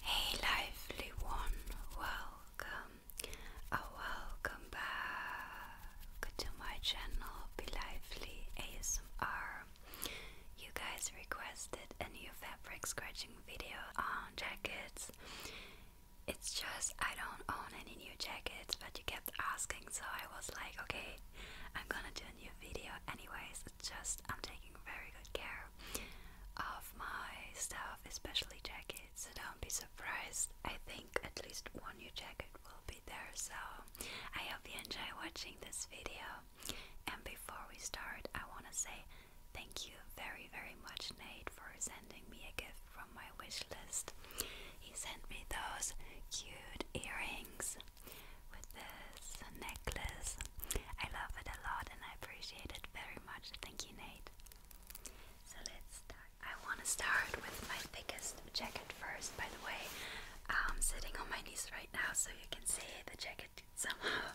Hey, lively one, welcome welcome back to my channel, Be Lively ASMR. You guys requested a new fabric scratching video on jackets. It's just I don't own any new jackets, but you kept asking, so I was like, okay, I'm gonna do a new video anyways just I'm taking very good care of my stuff, especially jackets. So don't be surprised. I think at least one new jacket will be there. So I hope you enjoy watching this video. And before we start, I want to say thank you very, very much, Nate, for sending me a gift from my wish list. He sent me those cute earrings with this necklace. I love it a lot and I appreciate it very much. Thank you, Nate. So let's I want to start with my thickest jacket first, by the way. I'm sitting on my knees right now so you can see the jacket somehow.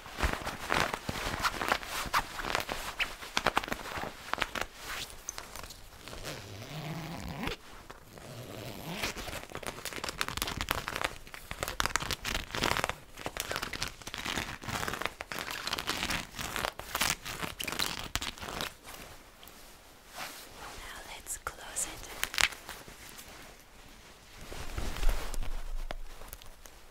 Now let's close it.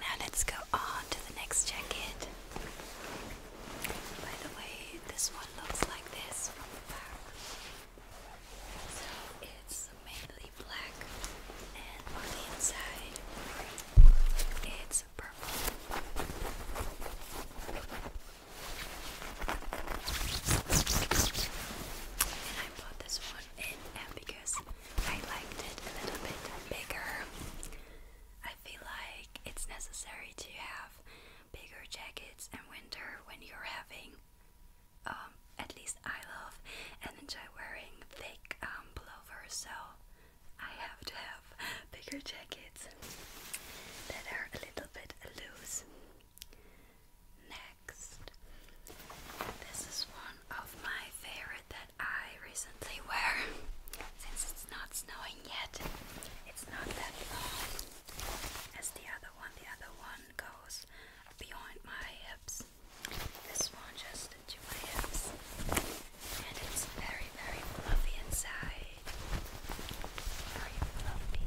Now let's go on to the next jacket. By the way, this one looks like this from the back. So it's mainly black, and on the inside, it's purple. And I bought this one in Ambiguous I liked it a little bit bigger. I feel like it's necessary to have bigger jackets in winter when you're having, um, at least I love and enjoy wearing thick um, pullovers, so I have to have bigger jackets that are a little bit loose. Next. This is one of my favorite that I recently wear. Since it's not snowing yet, it's not that long as the other one. The other one goes beyond my hips. This one just to my hips. And it's very, very fluffy inside. Very fluffy.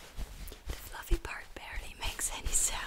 The fluffy part barely makes any sounds.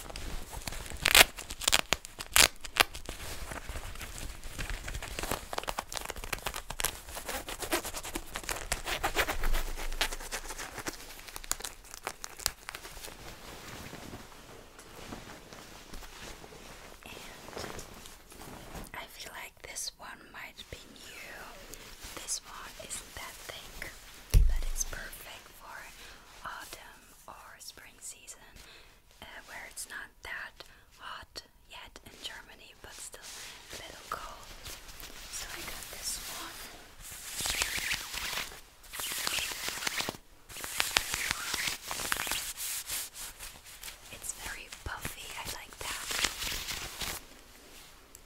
And I feel like this one might be new. This one isn't that thick, but it's perfect for autumn or spring season uh, where it's not that hot yet in Germany but still a little cold. So I got this one. It's very puffy, I like that.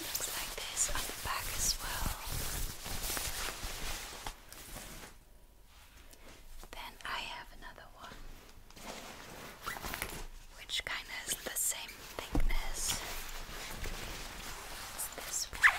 Looks like this on the back as well. Then I have another one, which kind of is the same thickness. It's this one.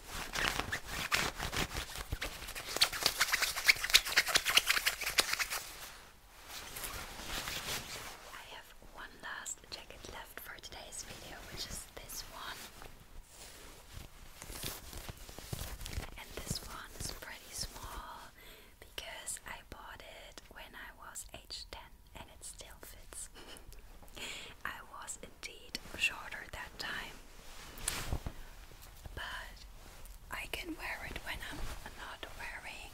I have one last jacket left for today's video, which is this one. And this one is pretty small because I bought it when I was age 10 and it still fits. I was in indeed shorter that time, but I can wear it when I'm not wearing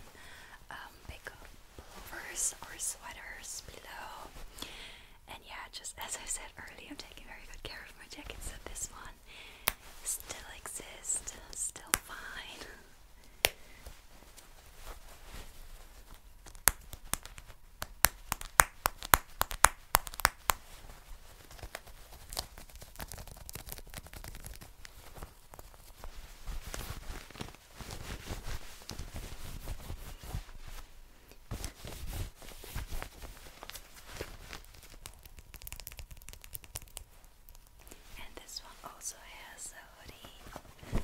big um, pullovers or sweaters below. And yeah, just as I said earlier, I'm taking very good care of my jacket, so this one still exists, still fine. And this one also has a hoodie.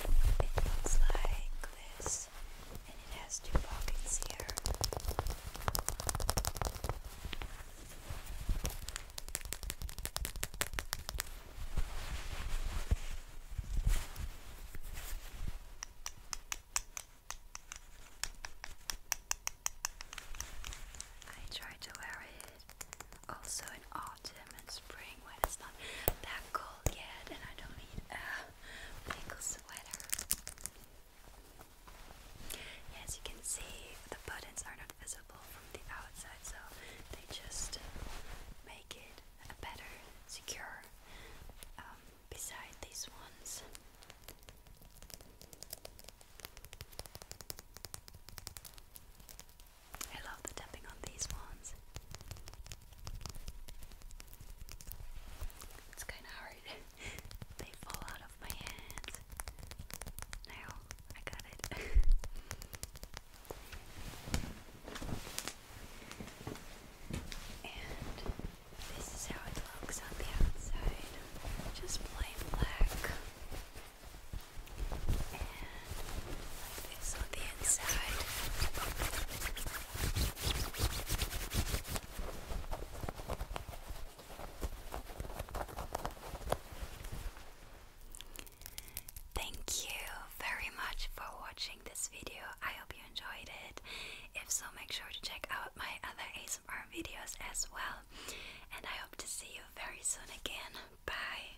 It looks like this, and it has two pockets here. I tried to wear it also in autumn I don't need a as you can see, the buttons are not visible from the outside, so they just uh, make it a better secure um, beside these ones. I love the tapping on these ones. It's kind of hard. they fall out of my hands. Now I got it. and this is how it looks on the outside. Just plain black. Thank you very much for watching this video. I hope you enjoyed it. If so, make sure to check out my other ASMR videos as well. And I hope to see you very soon again. Bye.